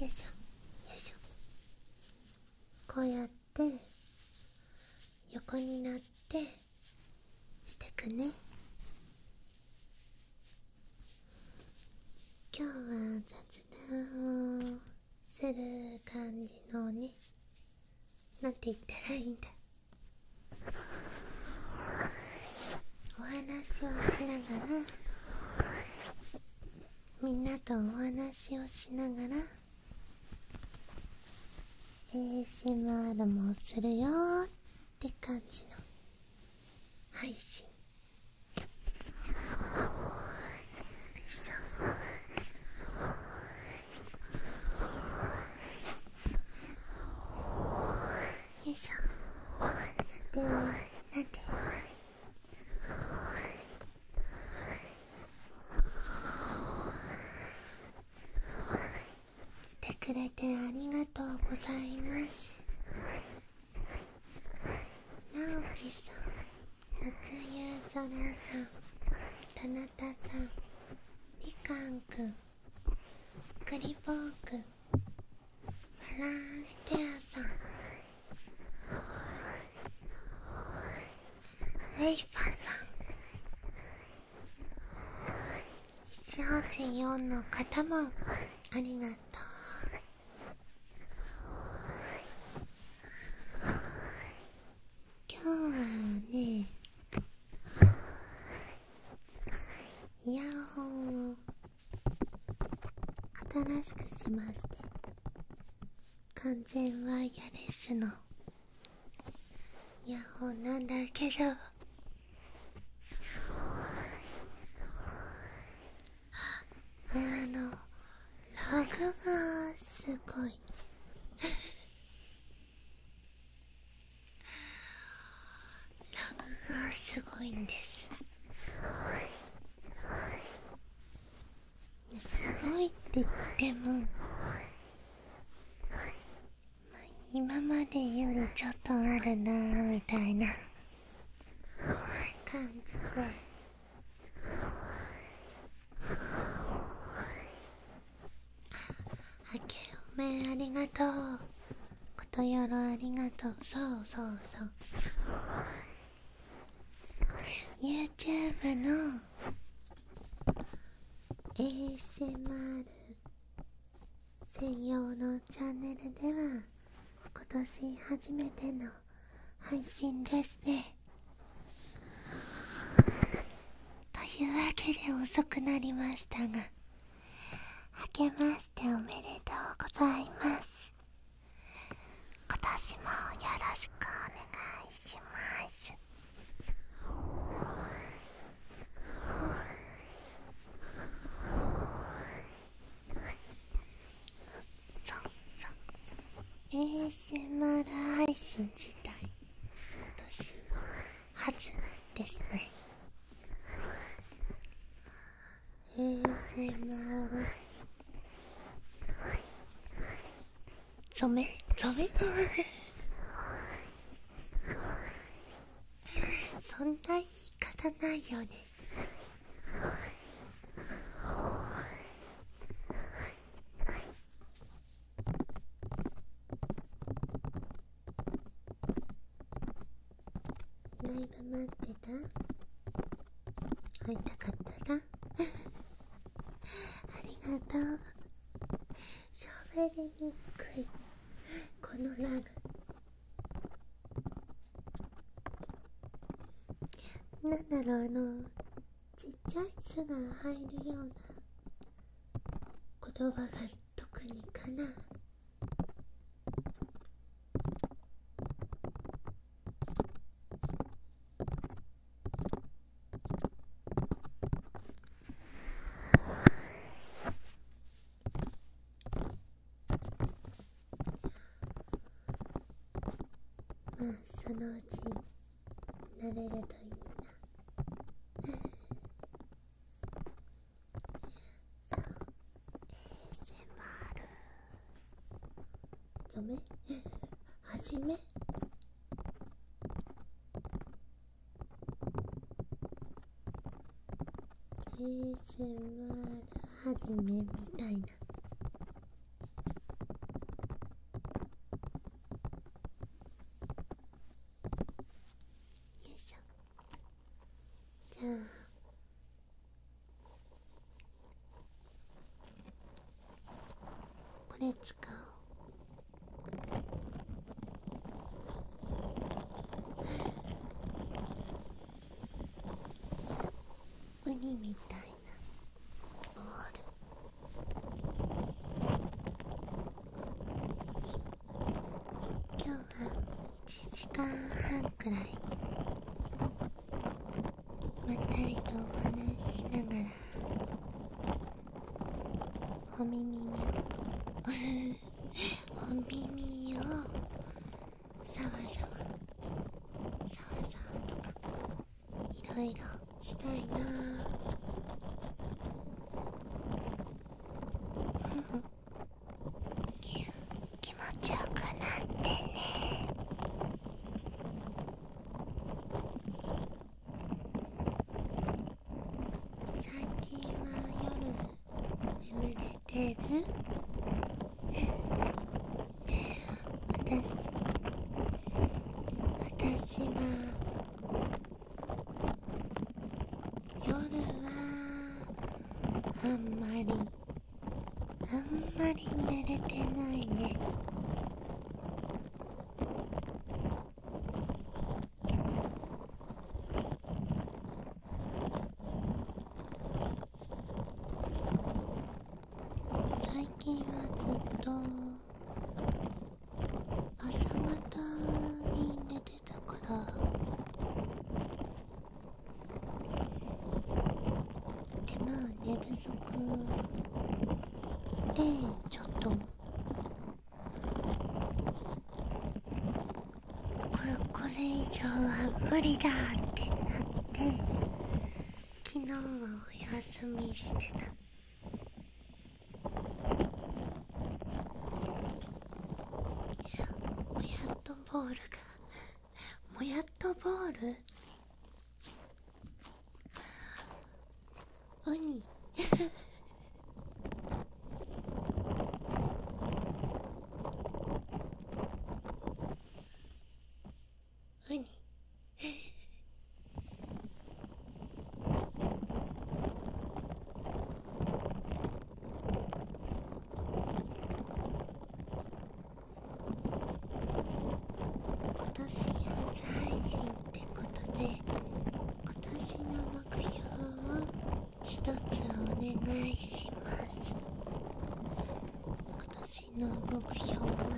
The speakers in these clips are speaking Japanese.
よいしょよいしょこうやって横になってしてくね今日は雑談をする感じのねなんて言ったらいいんだお話をしながらみんなとお話をしながら ASMR もするよって感じの配信よいしょなんで来てくれてありがとうございます直樹さんなつゆうぞらさんたなたさんみかんくんクリボークフランステアさんレイパーさん184の方もありがとう今日はね。イヤホンを新しくしまして完全ワイヤレスのイヤホンなんだけどあのラグがすごいグ語すごいんですすごいって言っても、まあ、今までよりちょっとあるなみたいな感じで。あけおめありがとうことよろありがとうそうそうそう YouTube の ASMR 専用のチャンネルでは今年初めての配信ですねというわけで遅くなりましたが明けましておめでとうございます今年もよろしくお願いしますそそ ASMR リス自体今年初ですね ASMR ザメザそんな言い方ないよねライブ待ってた会いたかったな ありがとうしゃべりにくいこのラグなんだろうあのちっちゃい「す」が入るような言葉が特にかなまあそのうちなれるといいな ASMR ダメはじ め「ASMR はじめ」みたいなよいしょじゃあこれ使おうウニみたいなボール今日は1時間半くらいまったりとお話しながらお耳をお耳をさわさわさわさわとかいろいろしたいなぁ気持ちよくなってね最近は夜眠れてる私私は夜はあんまりあんまり寝れてないね最近はずっと朝方に寝てれからでまあ寝不足でちょっとこれこれ以上は無理だってなって昨日はお休みしてた。やっとボールがもやっとボールウニウニ 今年初配信ってことで今年の目標を一つお願いします今年の目標は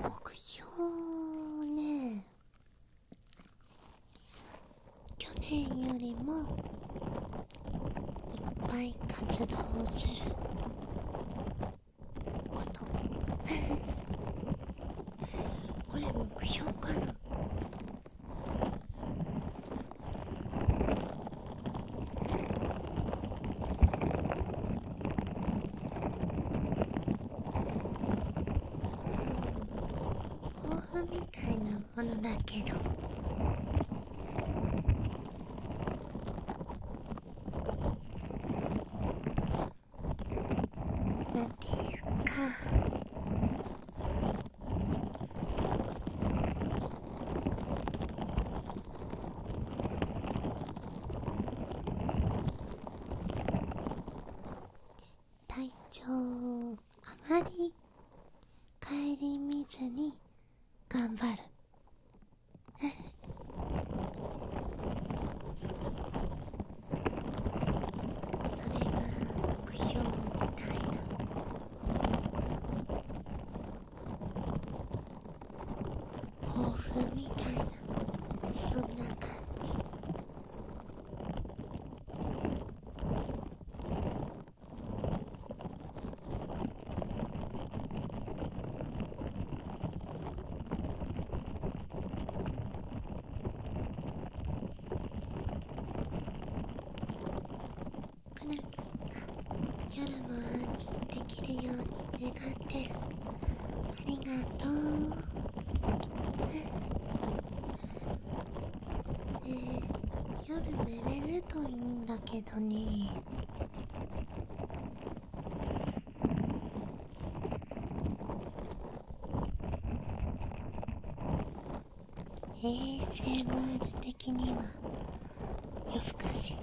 目標ね去年よりもいっぱい活動をすること これ目標かな後はみたいなものだけどなていうか体調あまり顧みずに頑張るそれが目標みたいな抱負みたいなそんな感じ夜も安できるように願ってるありがとうねえ夜寝れるといいんだけどね衛 a モー r 的には夜更かし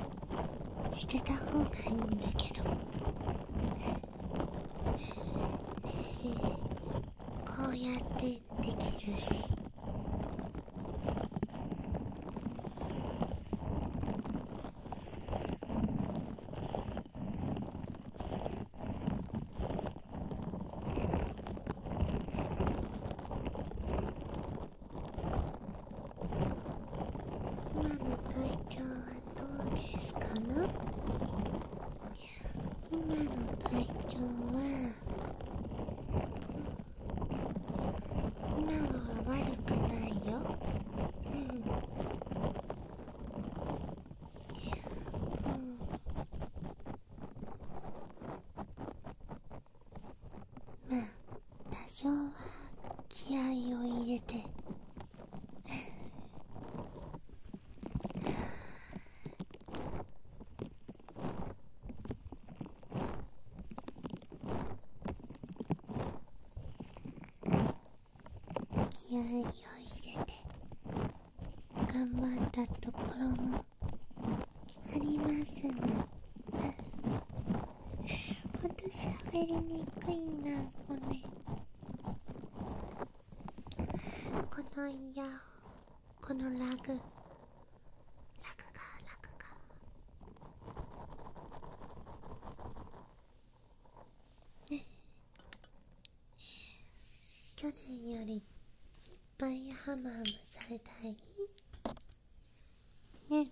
してた方がいいんだけど ねえこうやってできるし。今の体調はどうですかな今の体調は今は悪くないよ、うんうん、まあ多少は気合いを入れて気合いを入れて頑張ったところもありますねほんとしゃべりにくいなこれこのイヤホンこのラグラグがラグがね去年よりいっぱいハムハムされたいね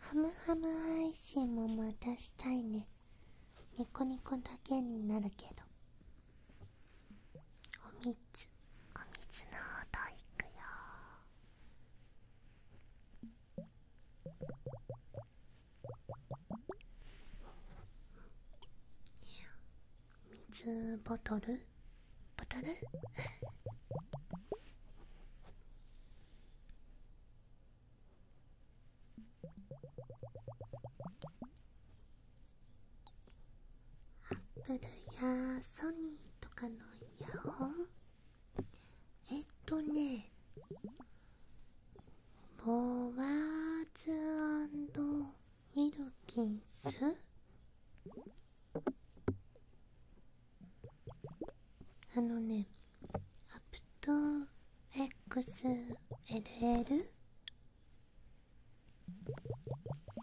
ハムハムアイシンもまたしたいねニコニコだけになるけどおみつ、おみつの音いくよみつ、ボトルボトルアップルやソニーとかのイヤホンえっとねボワーズウィルキンスあのねアプトン XLL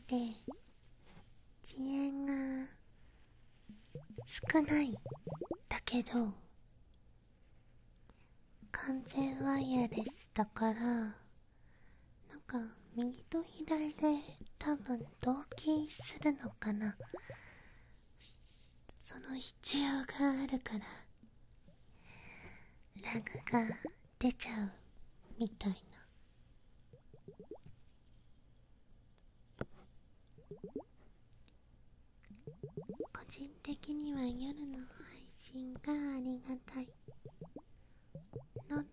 で遅延が少ないだけど完全ワイヤレスだからなんか右と左で多分同期するのかなその必要があるからラグが出ちゃうみたいな個人的には夜の配信がありがたい喉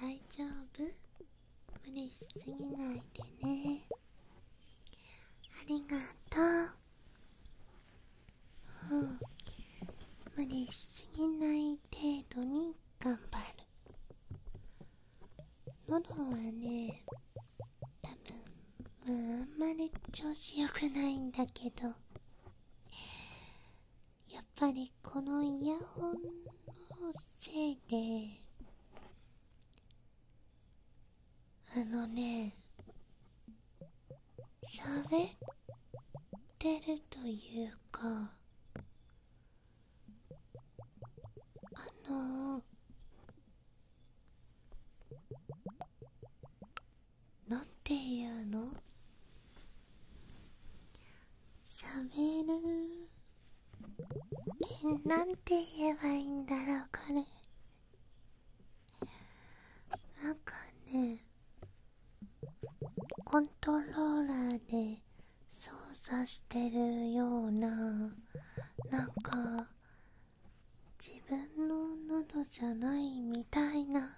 大丈夫無理しすぎないでねありがとううん無理しすぎない程度に頑張る喉はね多分まああんまり調子よくないんだけどやっぱりこのイヤホンのせいであのねしゃべってるというかあのー、なんていうのしゃべるえなんて言えばいいんだろうこれなんかねコントローラーで操作してるようななんか自分の喉じゃないみたいな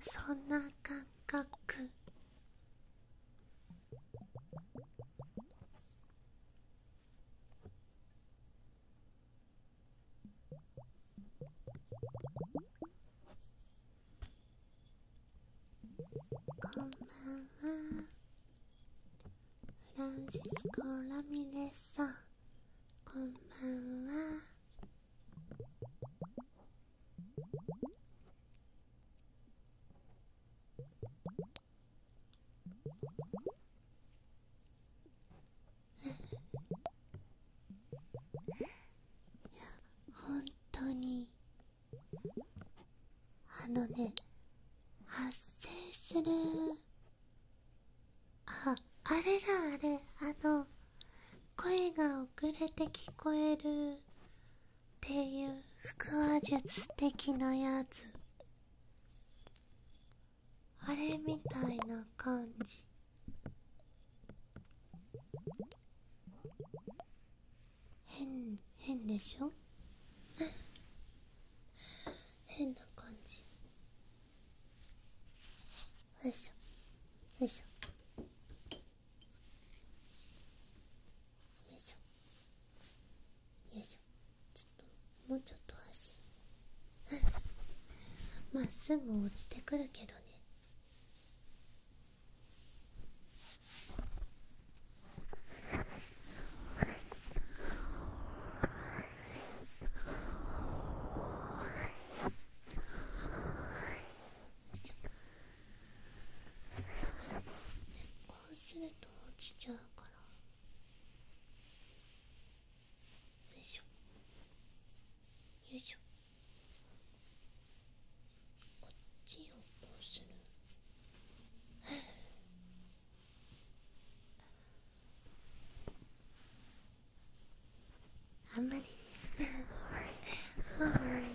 そんな感覚こんばんはフランシスコ・ラミレスさんこんばんはいや、本当にあのね発生するああれだあれあの声が遅れて聞こえるっていう腹話術的なやつあれみたいな感じ変変でしょ 変な感じよいしょよいしょよいしょ。ょ。ちっと、もうちょっと足 まあすぐ落ちてくるけどねこうすると落ちちゃうからよいしょよいしょこっちをどうする あんまり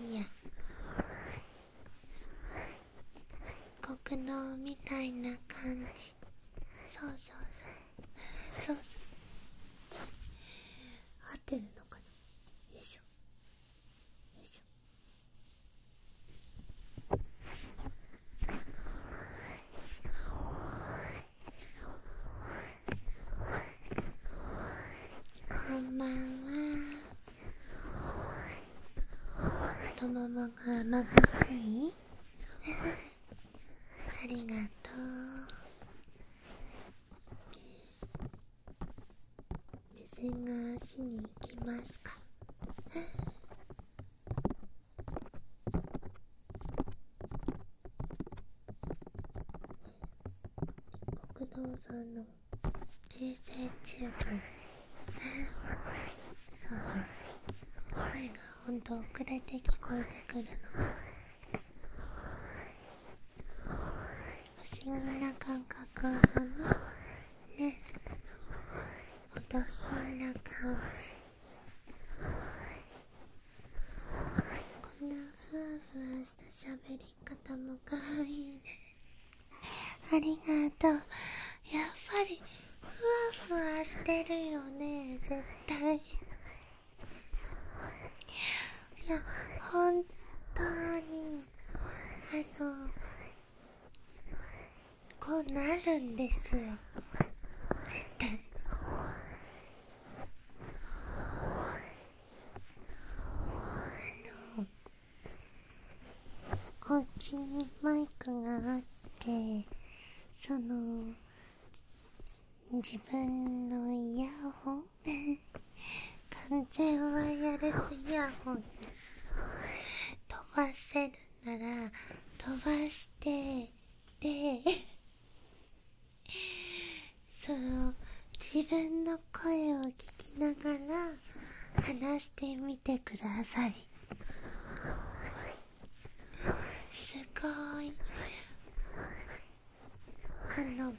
いや国道みたいな感じそうそうそうそう合ってるのかなよいしょよいしょこんばんは太ももが甘がすい ありがとう目線が足に行きますか国道さんの衛星チューブそうそう声がほんと遅れて聞こえてくるの腰思議な感覚をね落としな感じこんなふわふわした喋り方もかわいいねありがとうやっぱりふわふわしてるよね絶対いや本当にあのこうなるんですよ絶対あのおうちにマイクがあってその自分のイヤホン完全ワイヤレスイヤホン飛ばせるなら飛ばしてでその自分の声を聞きながら話してみてくださいすごいあの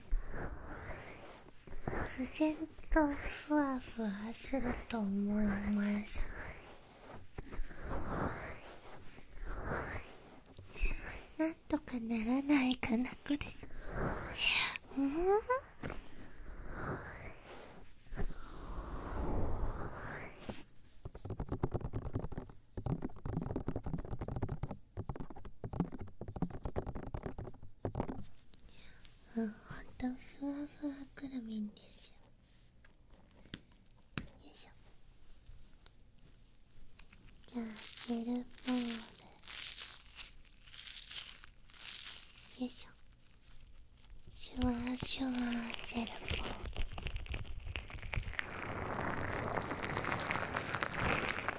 自然とふわふわすると思いますなんとかならないかなこれうんほんとふわふわくるみんですよよいしょじゃあジェルポールよいしょシュワシュワジェルポール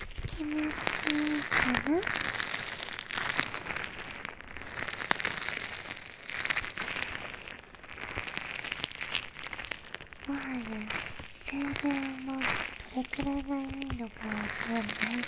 気持ちいいかなもはや数秒もどれくらいがいいのかわからない感じ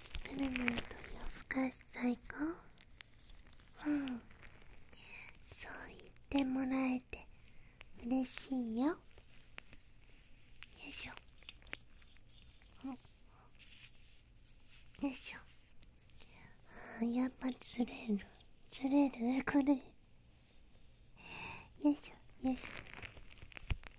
クルマンと夜かし最高そう言ってもらえて嬉しいよよいしょよいしょやっぱ釣れる釣れるこれよいしょよいしょ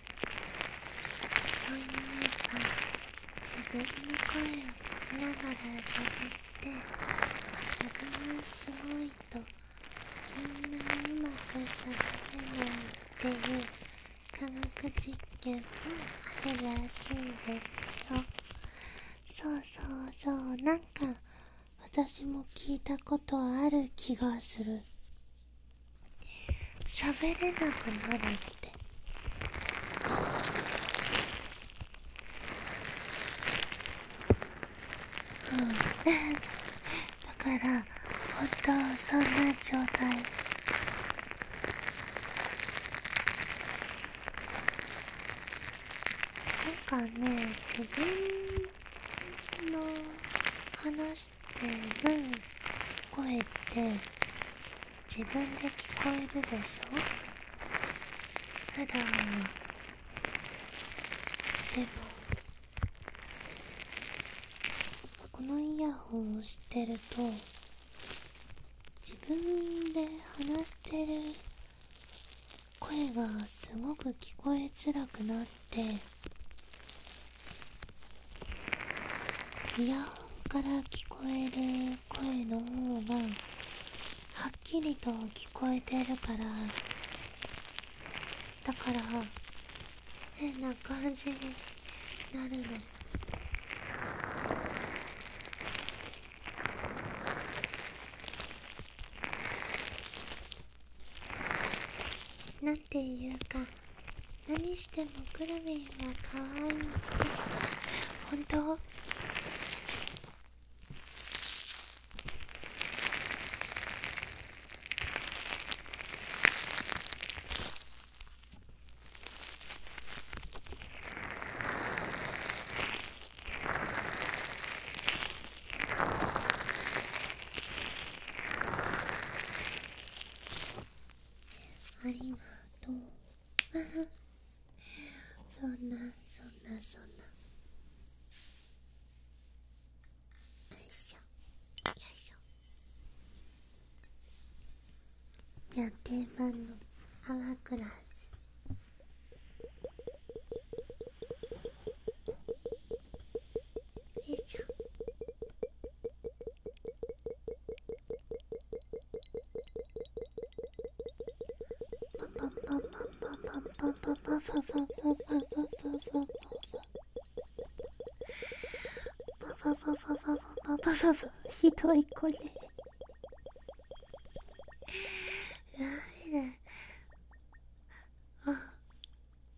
そういえば自分の声を聞きながら喋って自分はすごいとみんなうまく喋れないっていう科学実験もあしいですよそうそうそうなんか私も聞いたことある気がする喋れなくなるってうんだから本当そんな状態なんかね自分の話して声って自分で聞こえるでしょただでもこのイヤホンをしてると自分で話してる声がすごく聞こえづらくなってイヤホンから聞こえる声の方がはっきりと聞こえてるからだから変な感じになるの。なていうか何してもくるみんは可愛い本当ありがとうそんなそんなそんなよいしょよいしょじゃあ定番の泡クラスよいしょひどいこれやばいねあ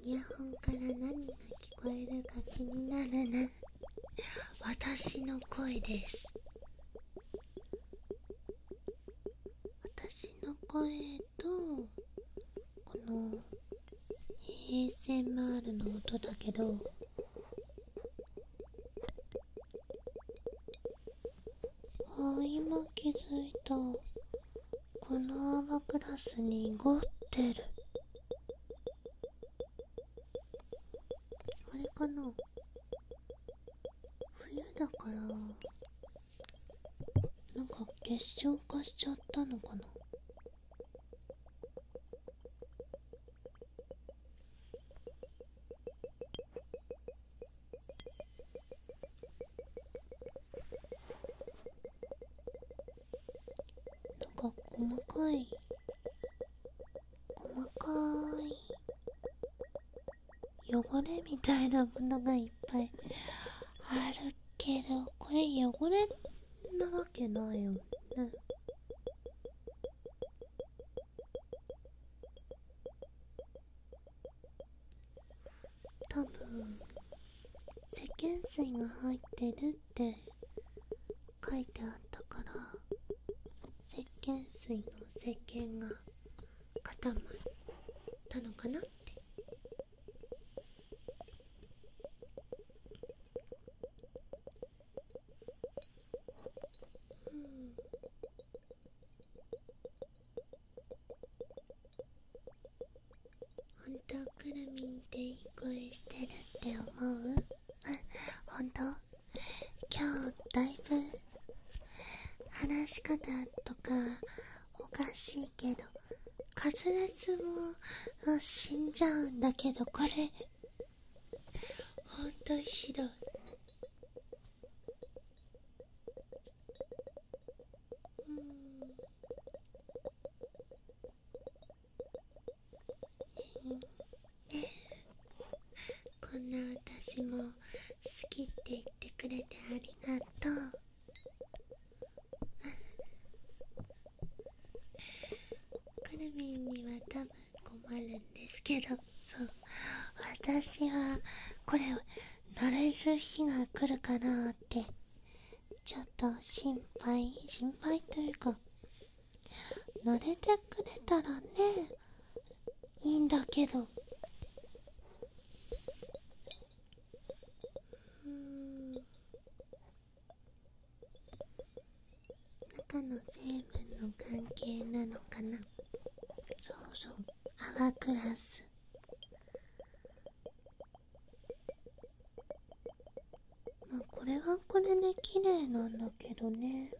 イヤホンから何が聞こえるか気になるな私の声です私の声とこの a マールの音だけどあ今気づいたこの泡グラスに濁ってるあれかな冬だからなんか結晶化しちゃったのかななんか細かい細かい汚れみたいなものがいっぱいあるけどこれ汚れなわけないよね多分石鹸水が入ってるって書いてあったから石鹸水の石鹸が固まったのかなってうん本当くるみんっていい声してるって思う 本当今日だいぶ話し方とかおかしいけど滑舌も死んじゃうんだけどこれほんとひどいうんこんな私も好きって言ってくれてありがとうくるみんには多分困るんですけどそう私はこれ慣れる日が来るかなってちょっと心配心配というか慣れてくれたらねいいんだけどうん中の成分の関係なのかなそうそう泡グラスまあこれはこれで綺麗なんだけどね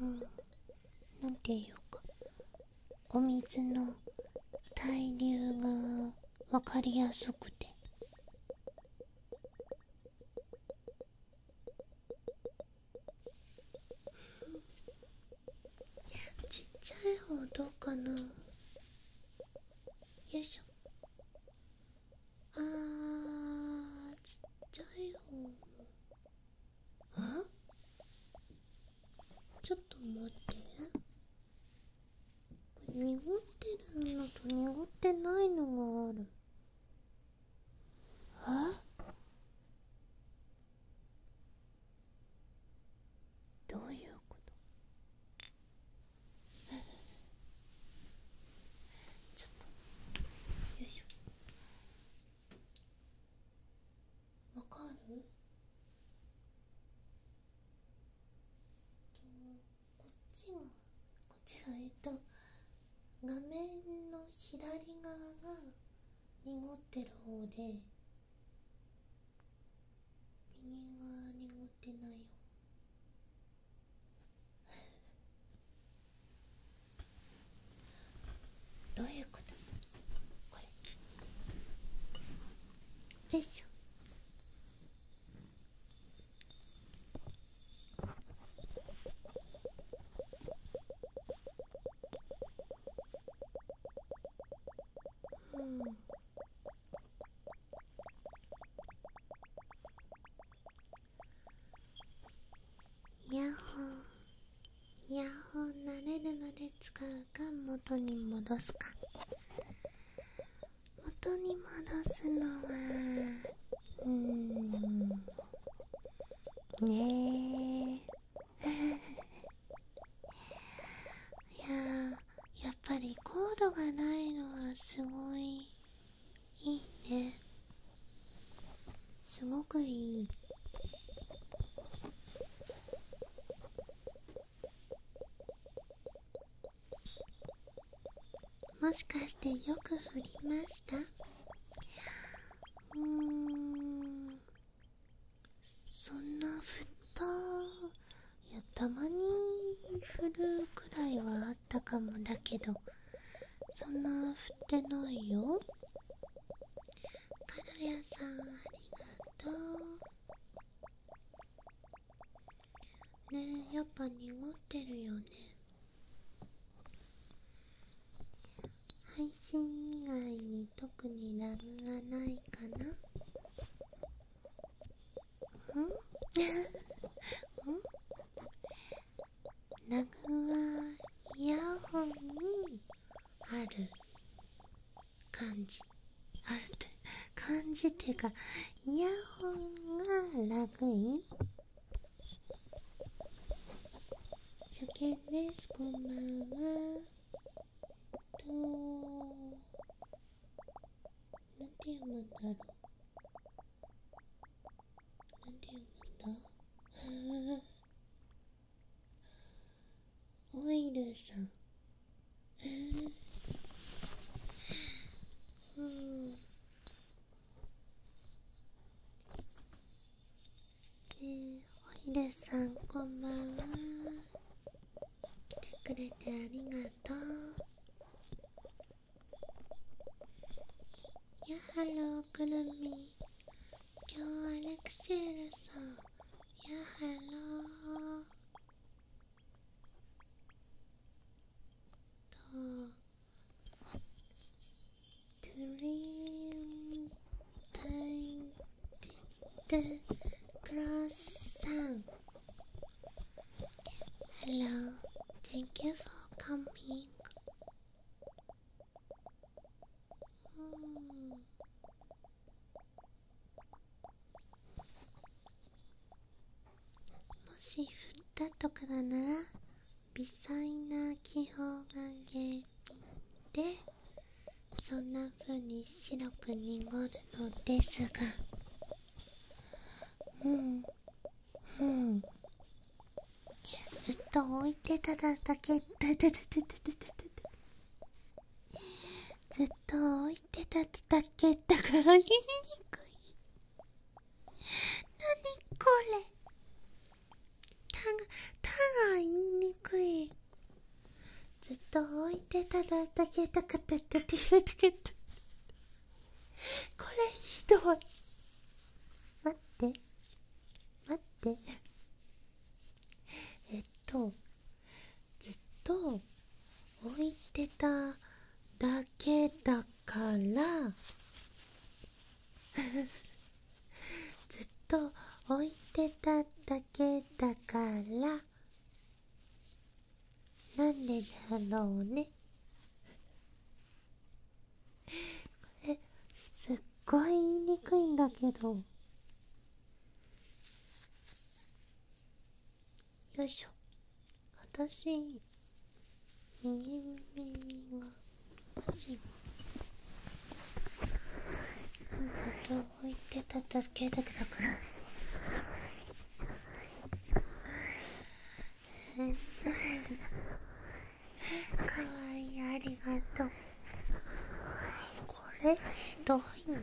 うんなんていうかお水の対流が分かりやすくてちっちゃい方どうかなよいしょあーちっちゃい方もあちょっと待ってね濁ってるのと濁ってないのがあるどういうこと ちょっとよいしょわかると、こっちがこっちえっと画面の左側が濁ってる方で右側濁ってないよ どういうことこれよいしょうんヤッホーヤッホー慣れるまで使うか元に戻すか元に戻すのはうーんねえいややっぱりコードがないのはすごいいいねすごくいいもしかしてよく振りましたうんそんな振ったいやたまに振るくらいはあったかもだけどそんな振ってないよカルヤさんありがとうねえやっぱ濁ってるよね配信以外に特にラグがないかなうんラグはイヤホンにある感じあるって感じっていうかイヤホンがラグい初見ですこんばんはとなんて読むんだろうなんて読むんだオイルさんうんえー、おひるさんこんばんは来てくれてありがとうやはろくるみ今日はレクセールさんやはろと Dream time did croissant. Hello, thank you for coming. Hmm. もし降ったとかだなら微細な気泡が原因でそんな風に白く濁るのですがうんずっと置いてただけずっと置いてただけだから言にくいこれたがたが言いにくいずっと置いてただけたかっただけたかったこれひどい待って待ってえっとずっと置いてただけだから ずっと置いてただけだからなんでだろうねこれすっごい言いにくいんだけどよいしょ私右耳がおしずっと置いてた助けてくだから先生かわいいありがとうこれひどいね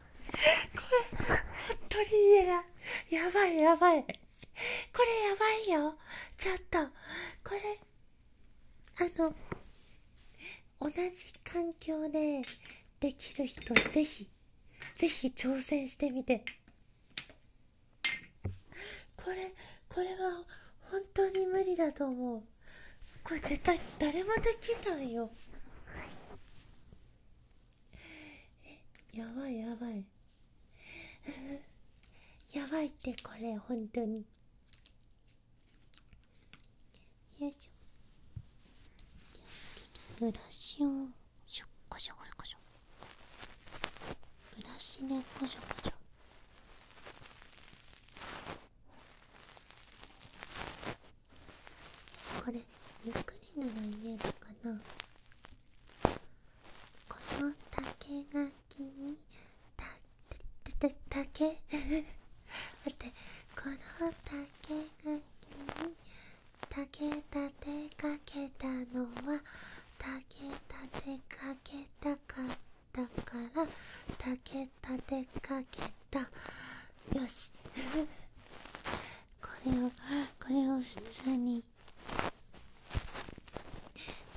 これ本当に言えないやばいやばいこれやばいよちょっとこれあの同じ環境でできる人ぜひぜひ挑戦してみてこれこれは本当に無理だと思うこれ絶対誰もできないよえやばいやばい やばいってこれほんとによいしょブラシをこしょこしょこしょブラシね、こしょこしょこれゆっくりなら言えるかなこの竹垣にたたた竹 待ってこの竹垣に竹立てかけたのは竹立てかけたかったから竹立てかけたよしこれをこれを普通に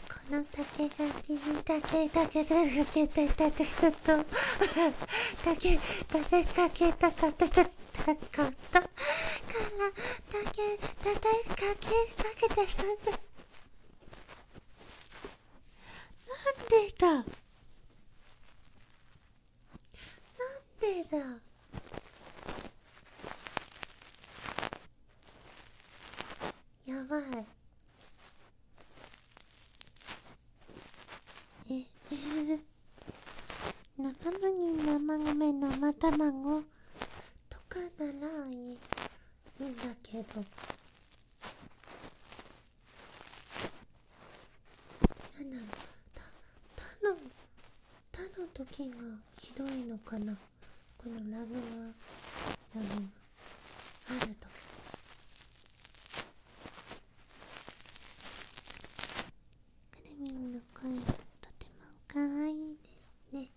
この竹垣に竹竹竹竹竹竹竹と竹竹竹竹竹竹竹から竹竹竹竹竹竹なんでだなんでだやばいええ。仲間に生米生卵とかならいいいいんだけどなんだたの。む他の時がひどいのかなこのラグはラグがあるとくるみんの声がとても可愛いですね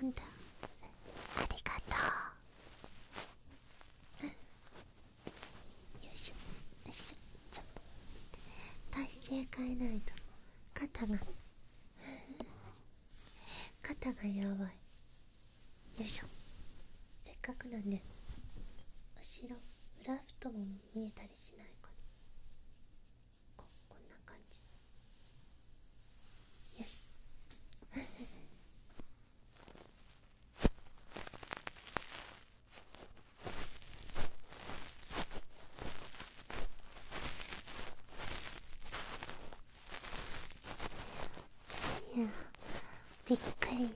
ほんとありがとうよいしょよいしょちょっと体勢変えないと肩が肩がやばいよいしょせっかくなんで後ろラフもも見えたりしないかなここんな感じよし いやびっくりだね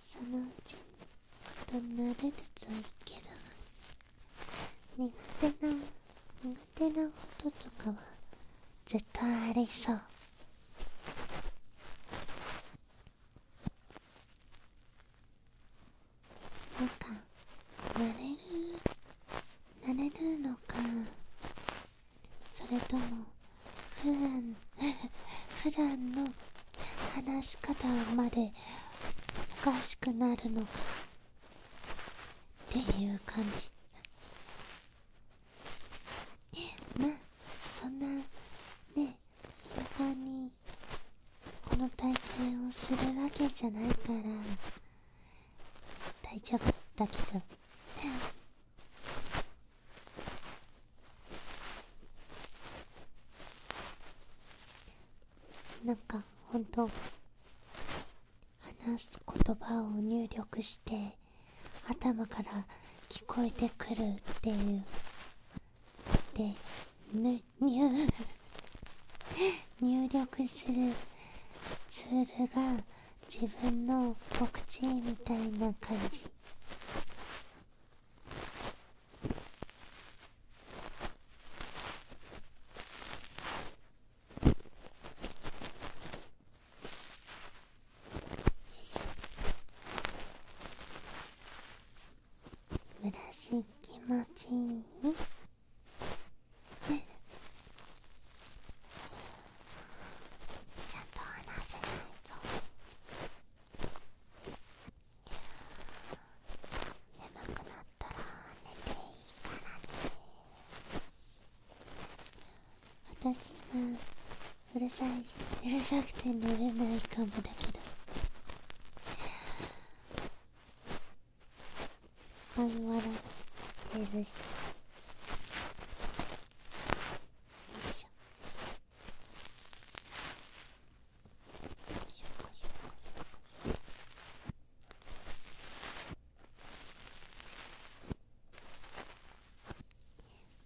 そのうちにと慣れるといいけど苦手な苦手なこととかは絶対ありそうのか慣れに。なれるのかそれとも普段 普段の話し方までおかしくなるのかっていう感じまあそんなね頻繁にこの体験をするわけじゃないから大丈夫だけど なんかほんと話す言葉を入力して頭から聞こえてくるっていうで入入力するツールが自分の告知みたいな感じブしい気持ちいいっ、ちゃんと話せないと眠くなったら寝ていいからね私がうるさいうるさくて乗れないかもだけど半笑ら、てるしよいしょ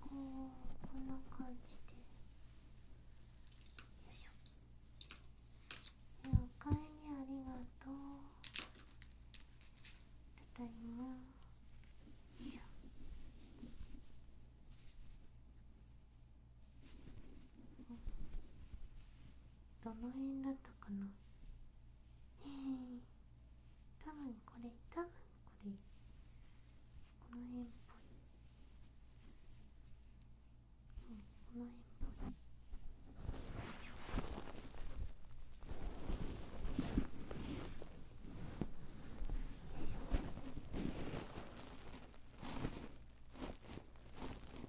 こんな感じでよいしょおかえりありがとうただいまよいしょどの辺だったかなえー、多分これ多分これこの辺っぽいうんこの辺っぽいよいしょ。よいしょ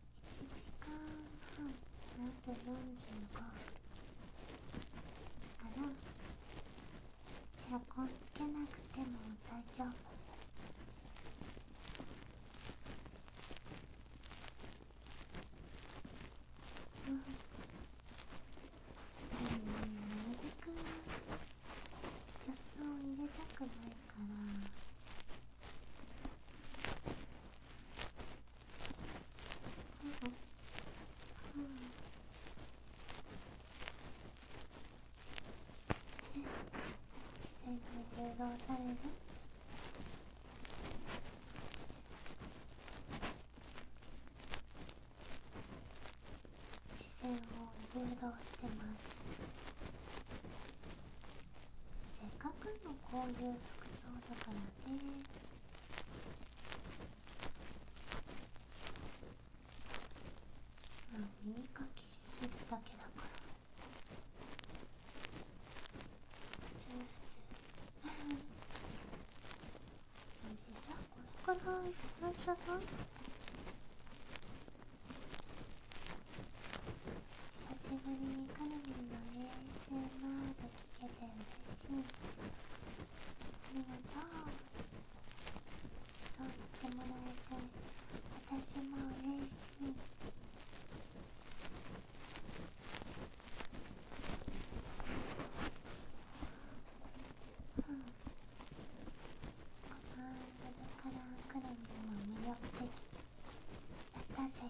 1時間半あと45だからエアコンつけなくても大丈夫うんでもねなるべく雑を入れたくないから。視点に誘導される視線を誘導してますせっかくのこういう服装だからねまあ耳かきしてるだけだから普通普通でさこれくらい普通じゃない久しぶりにカルミンの ASMR 聞けて嬉しいありがとうそう言ってもらいたい。私も嬉しいうんこのアルからくるみも魅力的やったぜ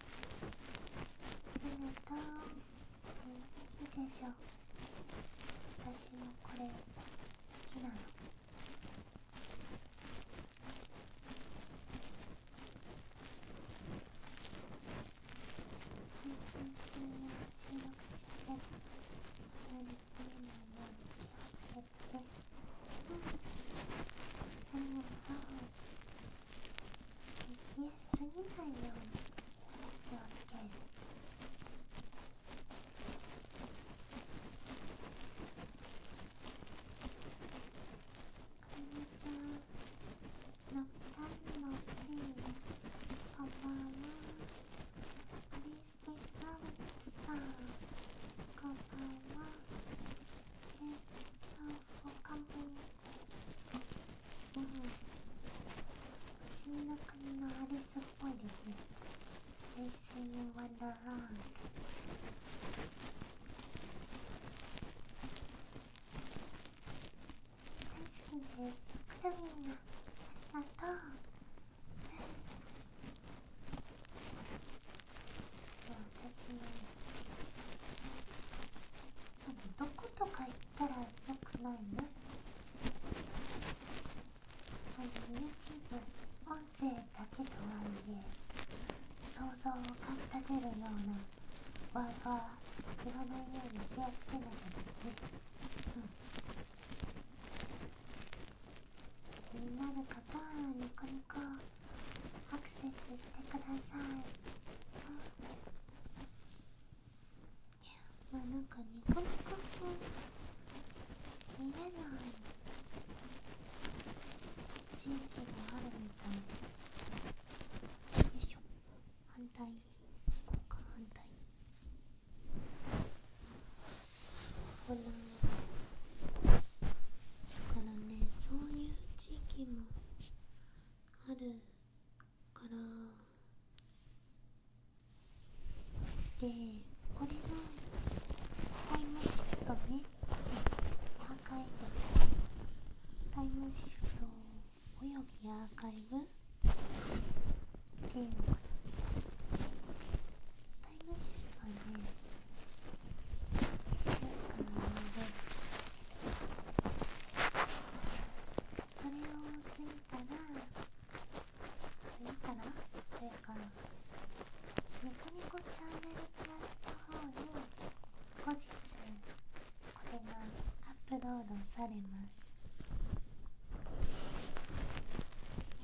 ありがとうえいいでしょ私もこれ好きなの配信中や収録中でもあまり冷えないように気をつけてねうんありがとう冷えすぎないように気をつけるこんにちはノクタンのせいこんばんはアリスプスガールさんこんばんはえ今日完璧うん口の国のアリスっぽいですね They say y o 大好きですくるみんが。ありがとう私も。そのどことか行ったらよくないねあの YouTube 音声だけとはいえ想像をかきたてるようなワーは言わないように気をつけなきゃだねう気になる方はニコニコアクセスしてくださいいやまあなんかニコニコと。見れない地域もあるみたいよいしょ反対こうか反対ほらだからねそういう地域も春からでこれのタイムシフトねアーカイブタイムシフトおよびアーカイブっていうのかなタイムシフトはね週間それを過ぎたら次かな。というかニコニコチャンネルプラスの方に後日これがアップロードされます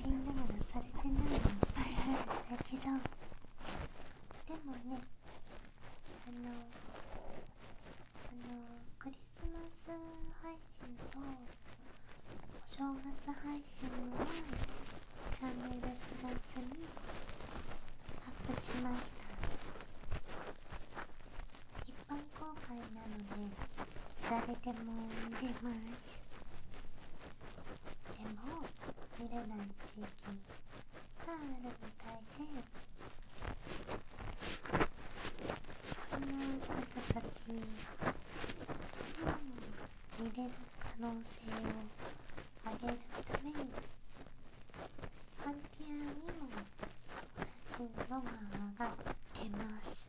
みんななされてないのいっぱいあるんだけどでもねあのあのクリスマス配信とお正月配信のチャンネルプラスにアップしました一般公開なので誰でも見れますでも見れない地域パールみたいでこの方たちに入れる可能性を上げるためにフンティアにも同じものが上がってます。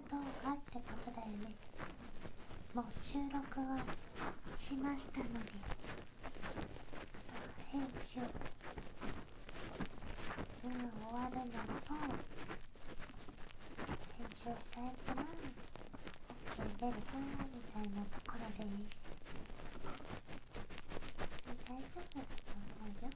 ク動画ってことだよねもう収録はしましたのであとは編集まあ終わるのと編集したやつさっき出るかみたいなところです大丈夫だと思うよ。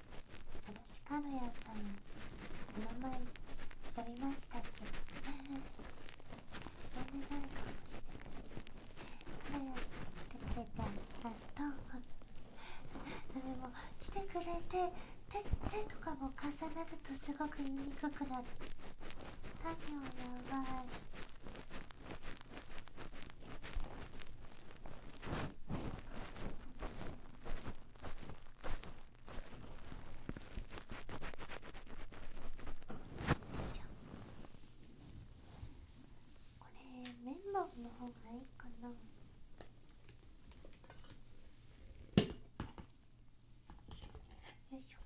私、のシカルヤさんお名前呼びましたっけ呼んでないかもしれないカルヤさん来てくれてありがとうでも来てくれて手とかも重なるとすごく言いにくくなる何をやばいじゃこれメンバーの方がいいかなよいしょ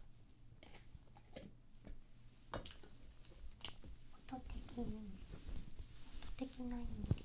音的に音的ないんで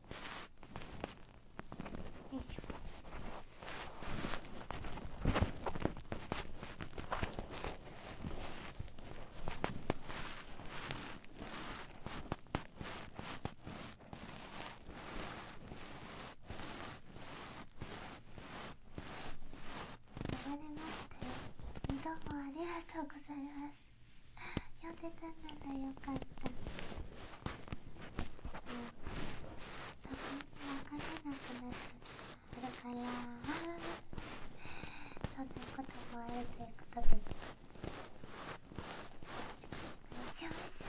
れましたどうもありがとうございます呼んでたならよかったたまにわからなくなったきがあるからそんなこともあるということでよろしくお願いします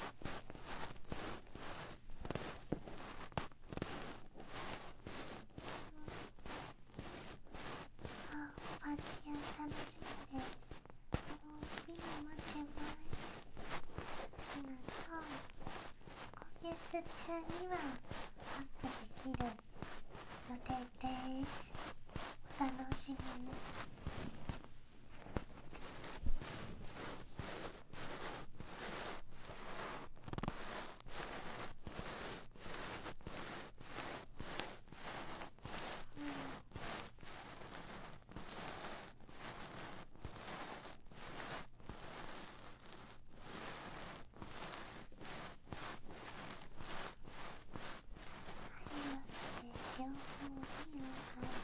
あパーティー楽しみです。みんな待ってますひなと月中にはアップできる予定ですお楽しみにうん、そして両方に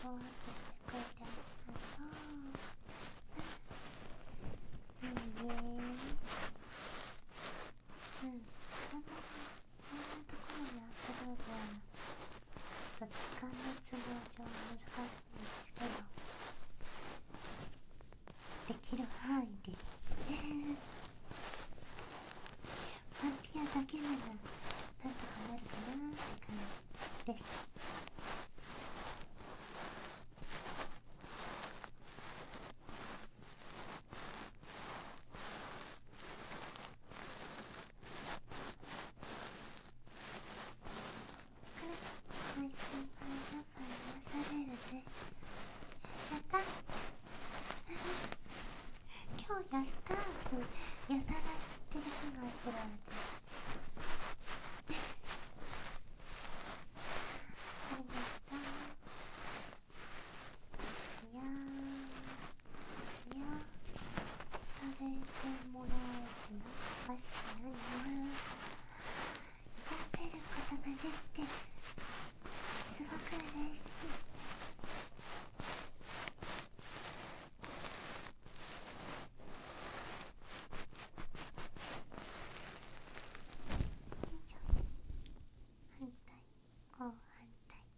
ハードワークしてくれてありがとう。いいえ。うん、なかな、か、そんなところにあったロードはちょっと時間の都合上難しいんですけどできる範囲でパンテアだけならなんとかなるかなって感じですい、配信が流されるでやった 今日やったーってやたら言ってる気がする私ありがとういやいやされてもらうって懐かしいな癒せることができてすごく嬉しいよいしょ反対後反対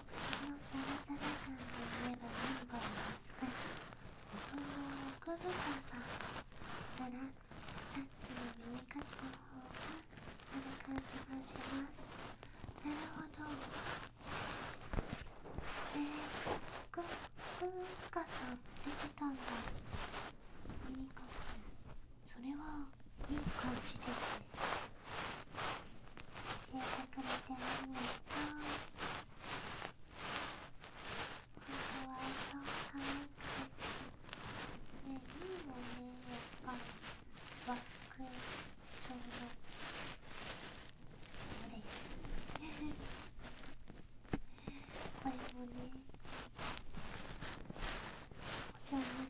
このザラザラ感で言えば何ンゴーを扱いお豆腐をさならさっきの耳かきの方がある感じがしますなるほどえー、くふうかさん出てたんだおみかくそれはいい感じですね。教えてくれてありがとう本当はそう可愛くてねいいよねやっぱバックちょうどそれ。ですこれもねお正月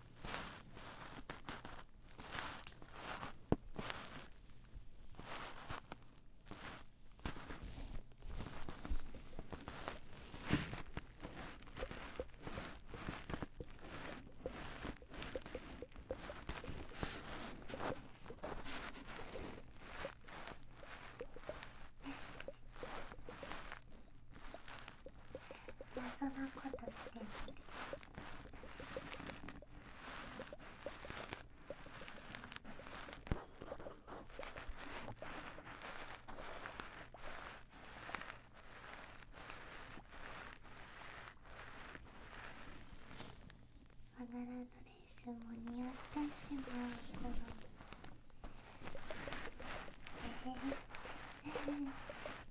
謎なことしてるんおならのレースも似合ってしまう頃にすごいですよ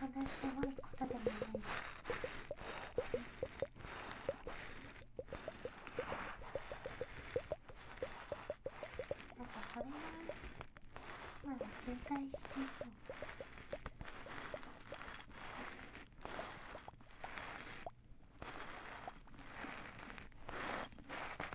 そんなすごいことでもないなんかそれはまあ渋滞してそうあ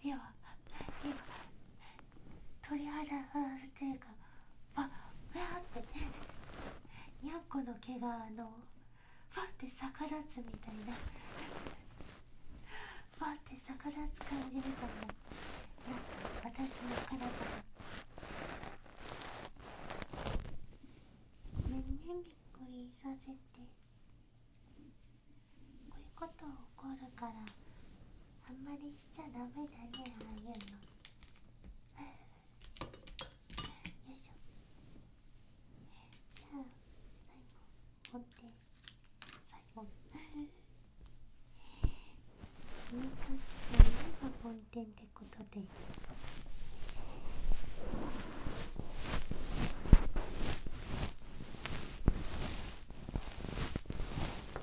今今鳥肌っていうかわっわってねにゃんこの毛があのわって逆立つみたいなわって逆立つ感じるといななんか私の体が。ごめんねびっくりさせて。こういうこと起こるからあんまりしちゃダメだねああいうのよいしょじゃあ最後本店。最後耳かきといえば梵天ってことでよいしょ耳いえばってことで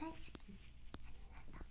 大好きありがとう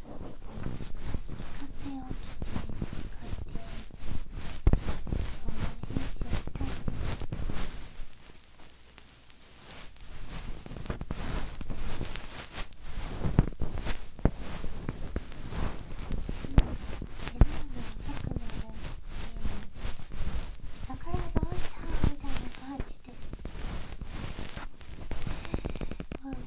手を来てその返事をしたいだからどうしたみたいな感じで。うん、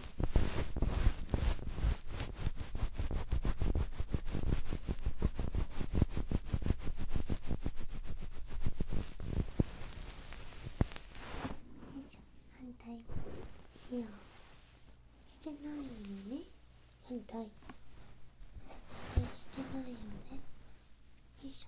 しょ反対しようしてないよね反対反対してないよねよいしょ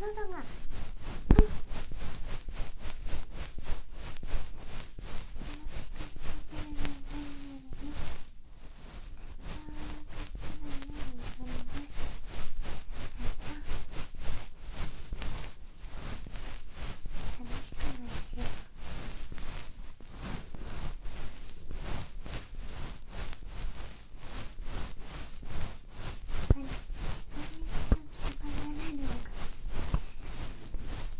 喉が、うん楽しくないけど。ないのか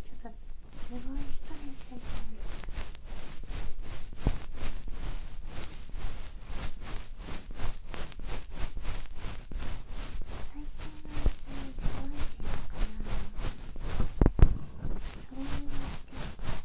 ちょっとすごいストレスに体調が一番怖いっていうのかなそれによって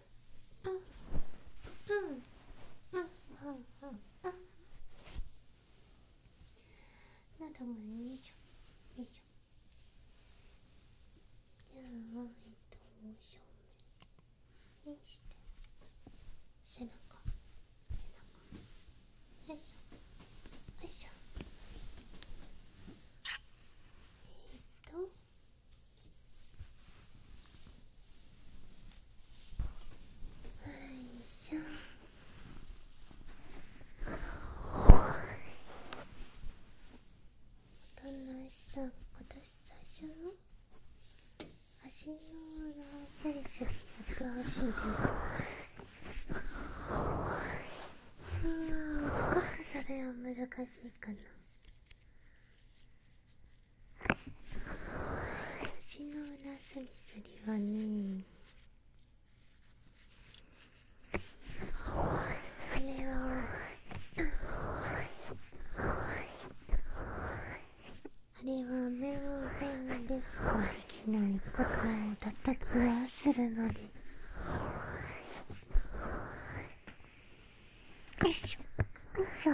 あ、なたもよいしょよいしょじゃあえっと正面にして背中背中よいしょよいしょえっといしょどんな足今年最初の足の裏サイズやってしいでああそれは難しいかな私の裏すりすりはねあれはあれは目を全えでしかできないことだった気がするので。よいしょよしょ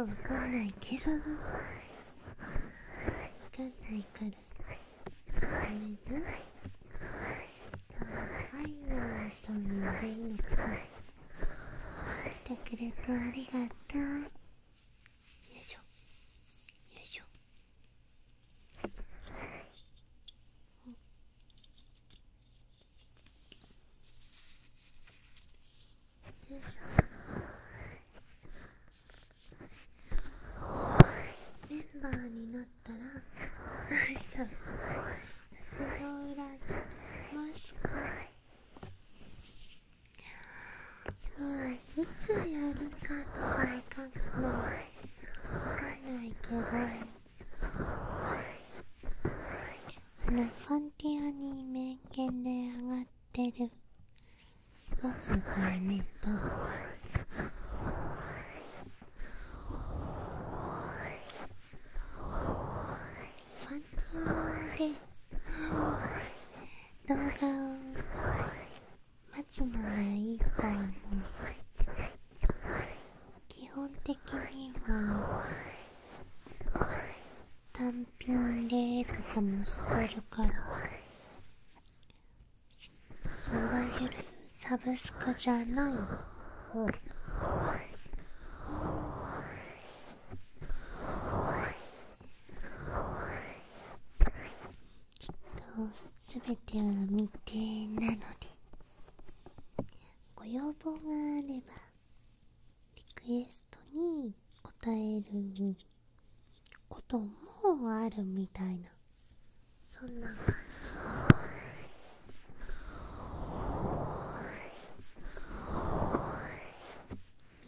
わかんないけどわかんないからごめんなはいおそんなでいの来てくれてありがとよいしょよいしょメンバーになったら私が裏切ましたもういつやるかとかがもうわかんないけどファンティアに名言で上がってるやつだよねファンティアで動画を松野がいい方も基本的には単品でとかもしてるからあわゆるサブスクじゃない方きっとすべては未定なので。ご要望があればリクエストに応えることもあるみたいなそんな感じ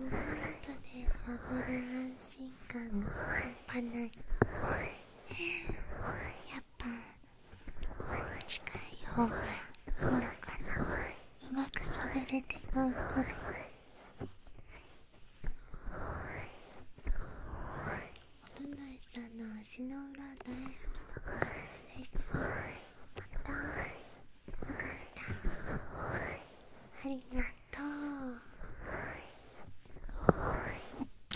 みんなとでしゃいおぱ近い方がいいのかなうまくしゃべれてないけどおとないさんの足の裏大好きだからですまたよかったありがと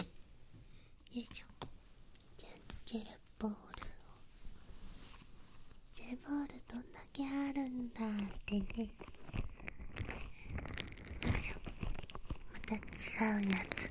うよいしょじボールをボールどんだけあるんだってねよいしょまた違うやつよ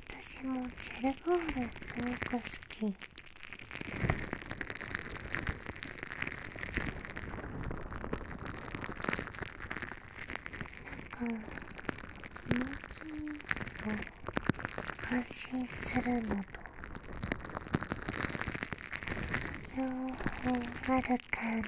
私もジェルボールすごく好きなんか気持ちいいと安心するのと両方ある感じ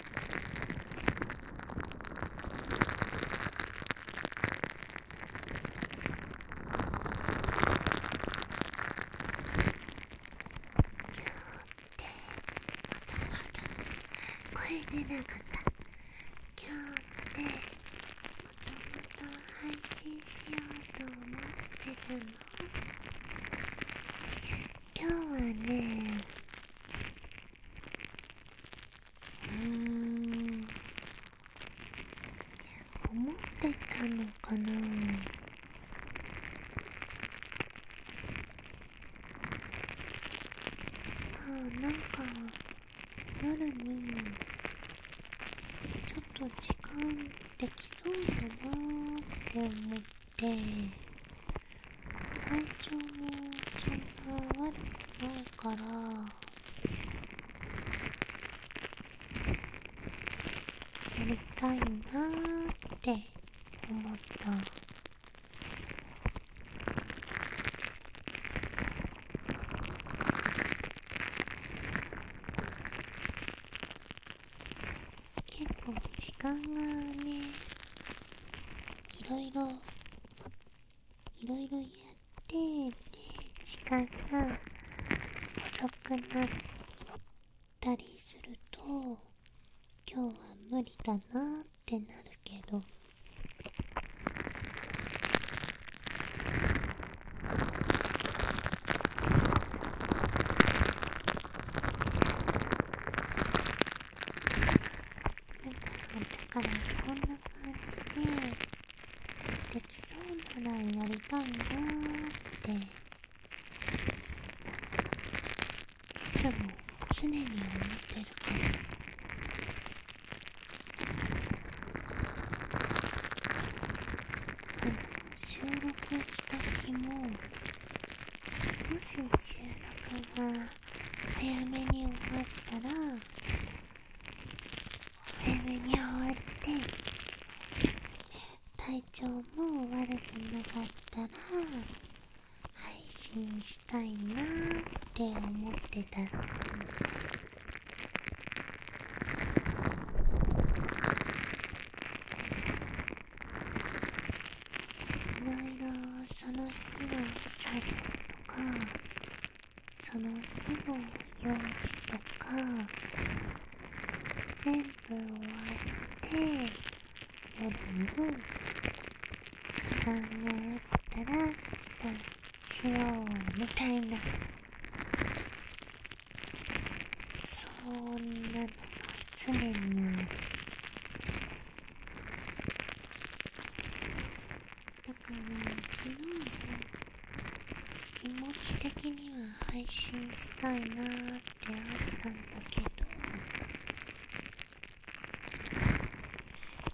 って声出なかった今日ってもともと配信しようと思ってたの今日はねうん思ってたのかなああ、なんか夜にちょっと時間できそうだなーって思って体調もちゃんな悪くないからやりたいなーって思った結構時間がねいろいろいろいろやって時間が遅くなったりすると今日は無理だなってなるけど。だからそんな感じでできそうならやりたいなっていつも常に思ってるから。の、収録した日ももし収録が早めに終わったら早めに終わって体調も悪くなかったら配信したいなって思ってたし。いろいろその日の作業とかその日の用事とか全部終わって夜の？時間があったら出題しようみたいなそんなのが常にある。だから昨日は。気持ち的には配信したいなーってあったんだけど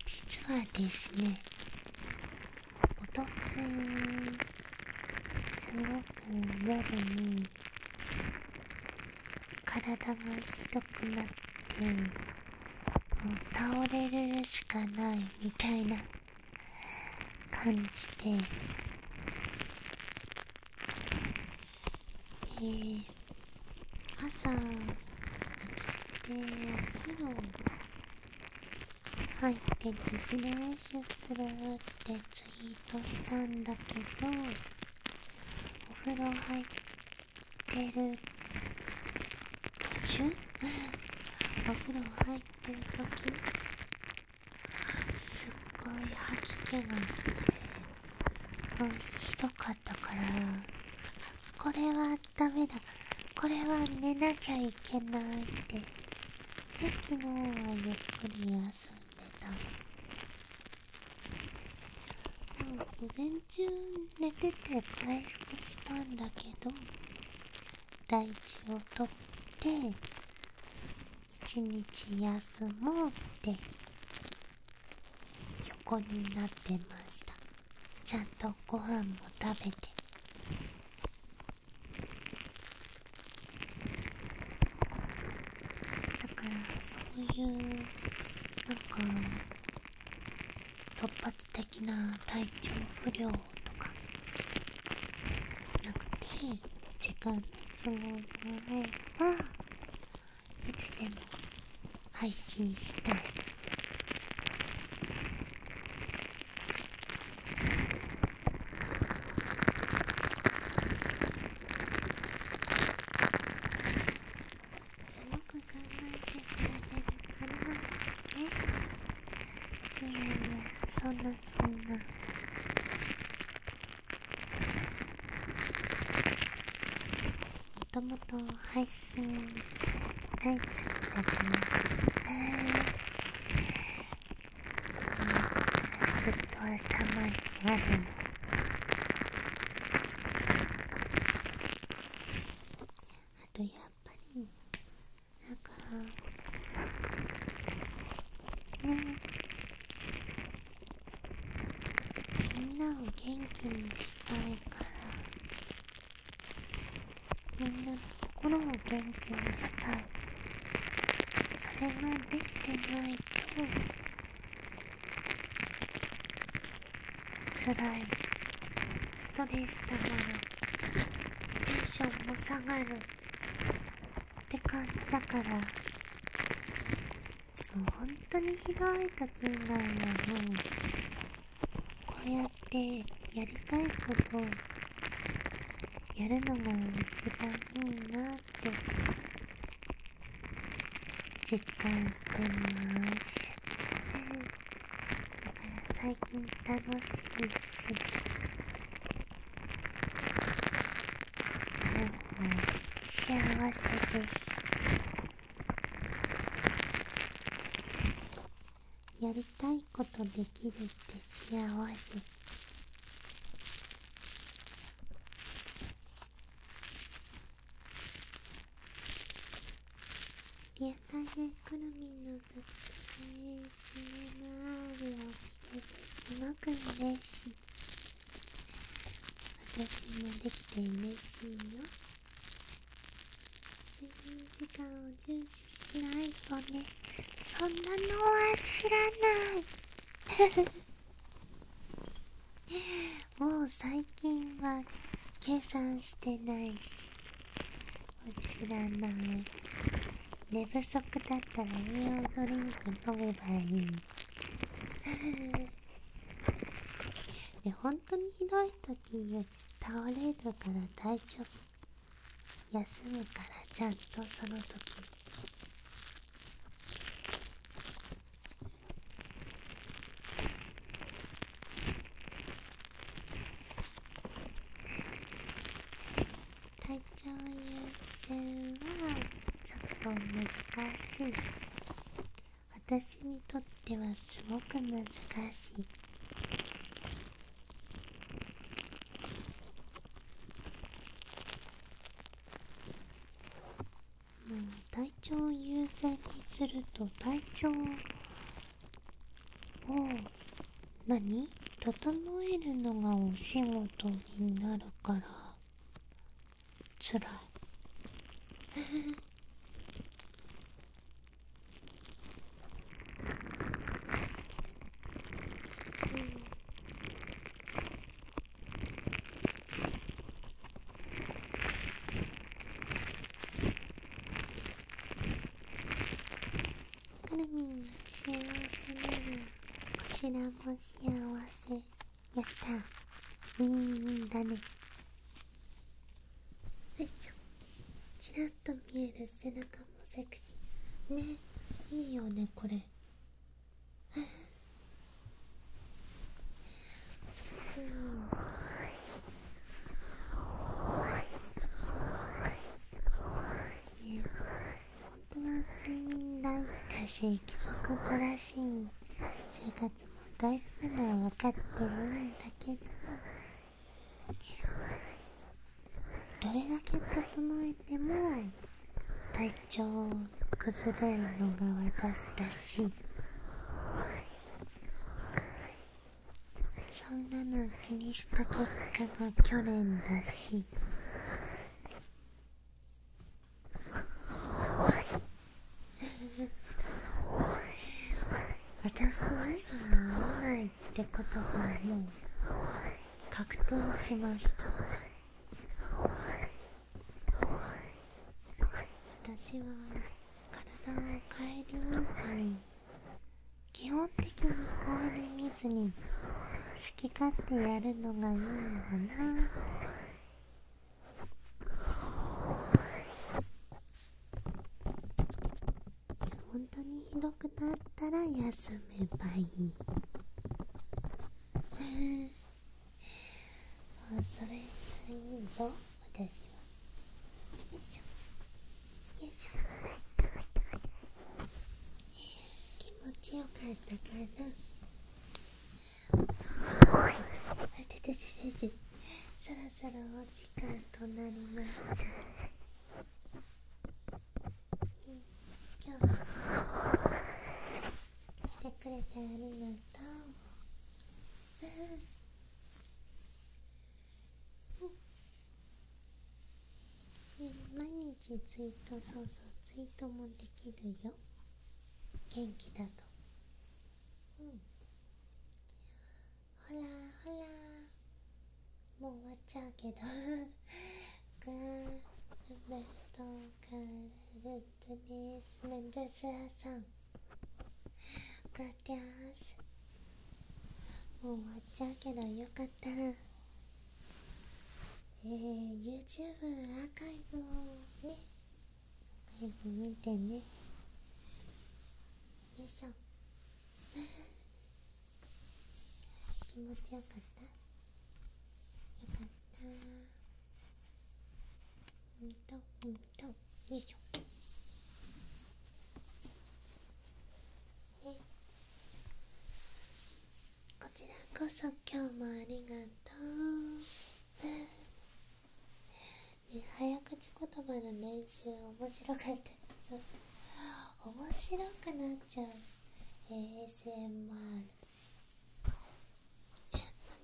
実はですねおとつすごく夜に体がひどくなってもう倒れるしかないみたいな感じでえ朝起きてお風呂入ってリフレッシュするってツイートしたんだけどお風呂入ってってる途中お風呂入ってる時すっごい吐き気がきて、ひどかったからこれはダメだこれは寝なきゃいけないってで昨日はゆっくり休んでた。午前中寝てて回復したんだけど大地を取って一日休もうって横になってましたちゃんとご飯も食べてだからそういうなんか突発的な体調不良とかなくて時間の都合も合えばいつでも配信したいよく考えてくれてるからねいやいそんなそんなもともと配信大好きだからねずっと頭にあるのあとやっぱりだから。ねみんなを元気にしたいからみんなの心を元気にしたいそれができてないと辛いストレスたまるテンションも下がるって感じだから本当にひどい時以外はもうこうやってやりたいことやるのが一番いいなって実感してます。だから最近楽しいしもう幸せですやりたいことできるって幸せ優しい好みの特製スネマールをしててすごく嬉しい私もできて嬉しいよ睡眠時間を重視しないとねそんなのは知らないもう最近は計算してないし知らない寝不足だったら栄養ドリンク飲めばいいね本当にひどい時倒れるから大丈夫休むからちゃんとその時体調優先はちょっと難しい私にとってはすごく難しいもう体調優先にすると体調をもう何整えるのがお仕事になるからつらい カルミン幸せならこちらも幸せやったみんだねよいしょちらっと見える背中もセクシーねいいよねこれね本当は睡眠大事だし規則正しい生活も大事なのは分かってるんだけどどれだけ整えても体調を崩れるのが私だしそんなの気にした結果が去年だし私は今会わないって言葉が格闘しました私は体を変えるみたい基本的に氷水に好き勝手やるのがいいのかな本当にひどくなったら休めばいいそれがいいぞ私はよいしょよいしょ気持ちよかったかなあてててててそろそろお時間となりました今日来てくれてありがとうね、毎日ツイートそうそうツイートもできるよ元気だとうんほらほらもう終わっちゃうけどグーメントカルトミスメンデスさんガってます。もう終わっちゃうけどよかったらえー、YouTube アーカイブをねアーカイブ見てねよいしょ 気持ちよかったよかったうんとうんとよいしょこちらこそ今日もありがとうね早口言葉の練習面白かった面白くなっちゃう ASMR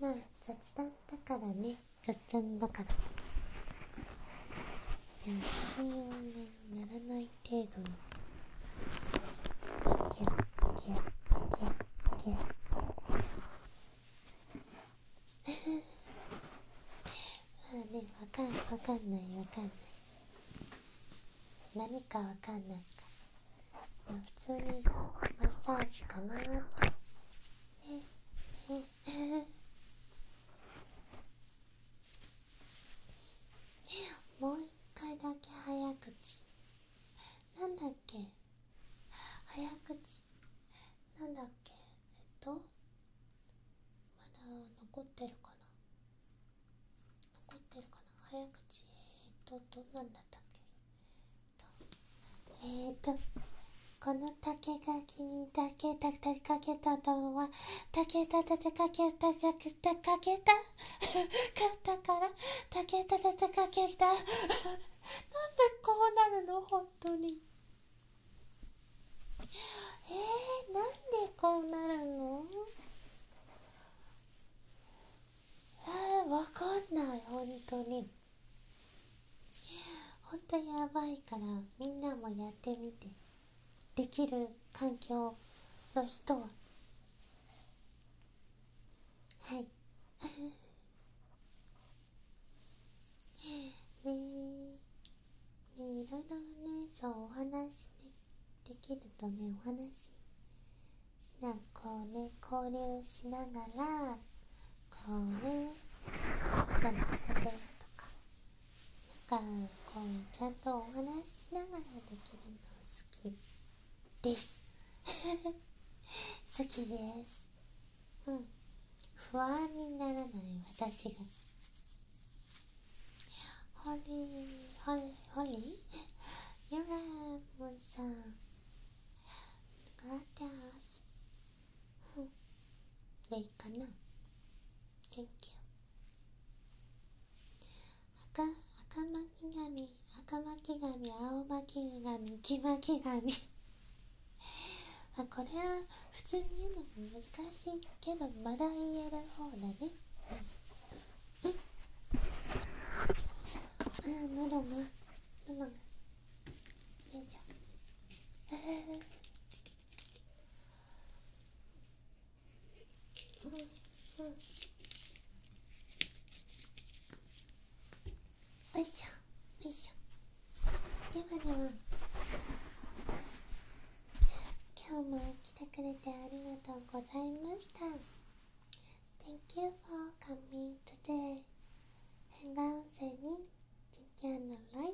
まあ雑談だからね雑談だから足をねならない程度にギュッギュッギュッギュッまあねわかんわかんないわかんない何かわかんないから、まあ、普通にマッサージかなってねえもう一回だけ早口なんだっけ早口なんだっけえっとまだ残ってるかな残ってるかな早口えっとどんなんだったっけえっとえっとこの竹が君だけたたかけたのは竹たたたかけたたたかけたかったから竹たたたかけたなんでこうなるの本当にえー、なんでこうなるのえー、わかんない本当にほんとやばいからみんなもやってみてできる環境の人ははいみ ねいろいろねそうお話ねできるとねお話しなこうね交流しながらこうねなんかなんかこうちゃんとお話しながらできるの好きです 好きですうん不安にならない私がホリーホリーホリー ユラムさんグラテアスうんでいいかなあか、a n k you 赤赤巻き髪赤巻き髪青巻き髪黄巻き髪あこれは普通に言うのも難しいけどまだ言える方だねうああ喉が喉がよいしょよいしょよいしょレバレは今日も来てくれてありがとうございました Thank you for coming today 変顔性に t i t i a の a l i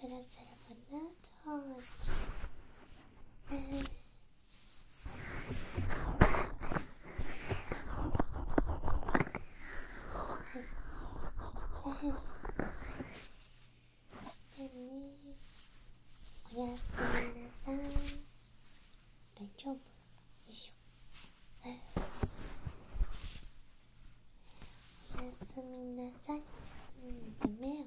プラスするかなと思って。じゃねおやすみなさい大丈夫よいしょおやすみなさい、うん、夢を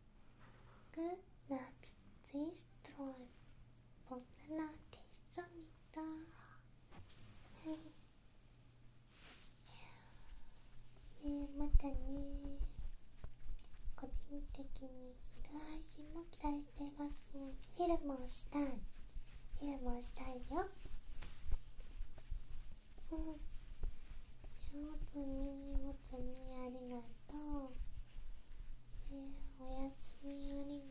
Good luck this time. 번나됐습니またね個人的に昼配信も期待しています昼もしたい昼もしたいようん上手にありがとう、ね、おやすみあり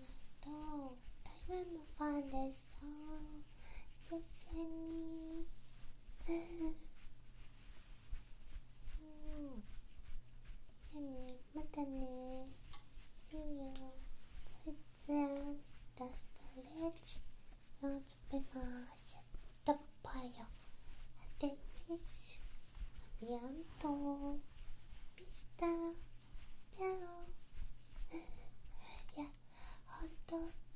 がとう台湾のファンです一緒にうねまたね See you with the s t r e t c tapaya de mis avianto v i いやほん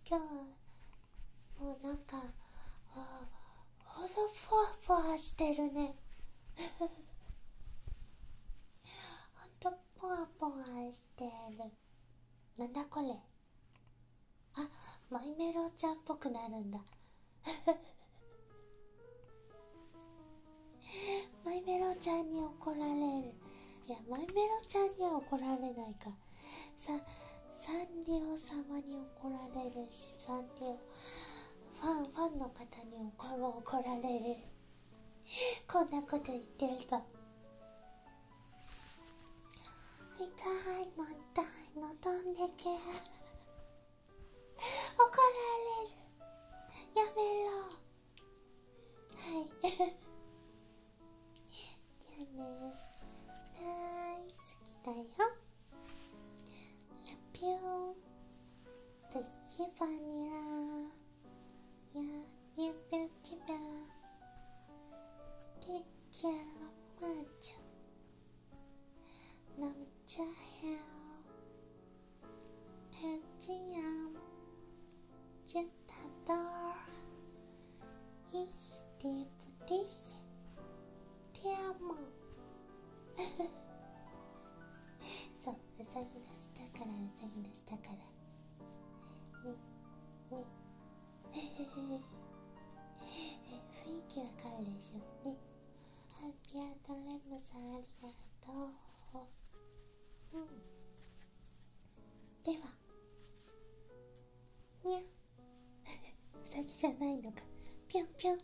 今日もうなんかほどふわふわしてるねほんとぽわぽわしてるなんだこれあマイメロちゃんっぽくなるんだ マイメロちゃんに怒られるいやマイメロちゃんには怒られないかさサンリオ様に怒られるしサンリオファンファンの方に怒も怒られる こんなこと言ってると痛いもったいの飛んでけ怒られるやめろはいじゃあね大好きだよラピューと一番にらやゆべるきばいけろまーちゃん飲むちゃへよヘッジやジェタドーイヒディブリヒピアモそううさぎの下からうさぎの下からにに雰囲気わかるでしょねハッピーアートレムさんありがとううんではにゃうさぎじゃないのかぴょんぴょん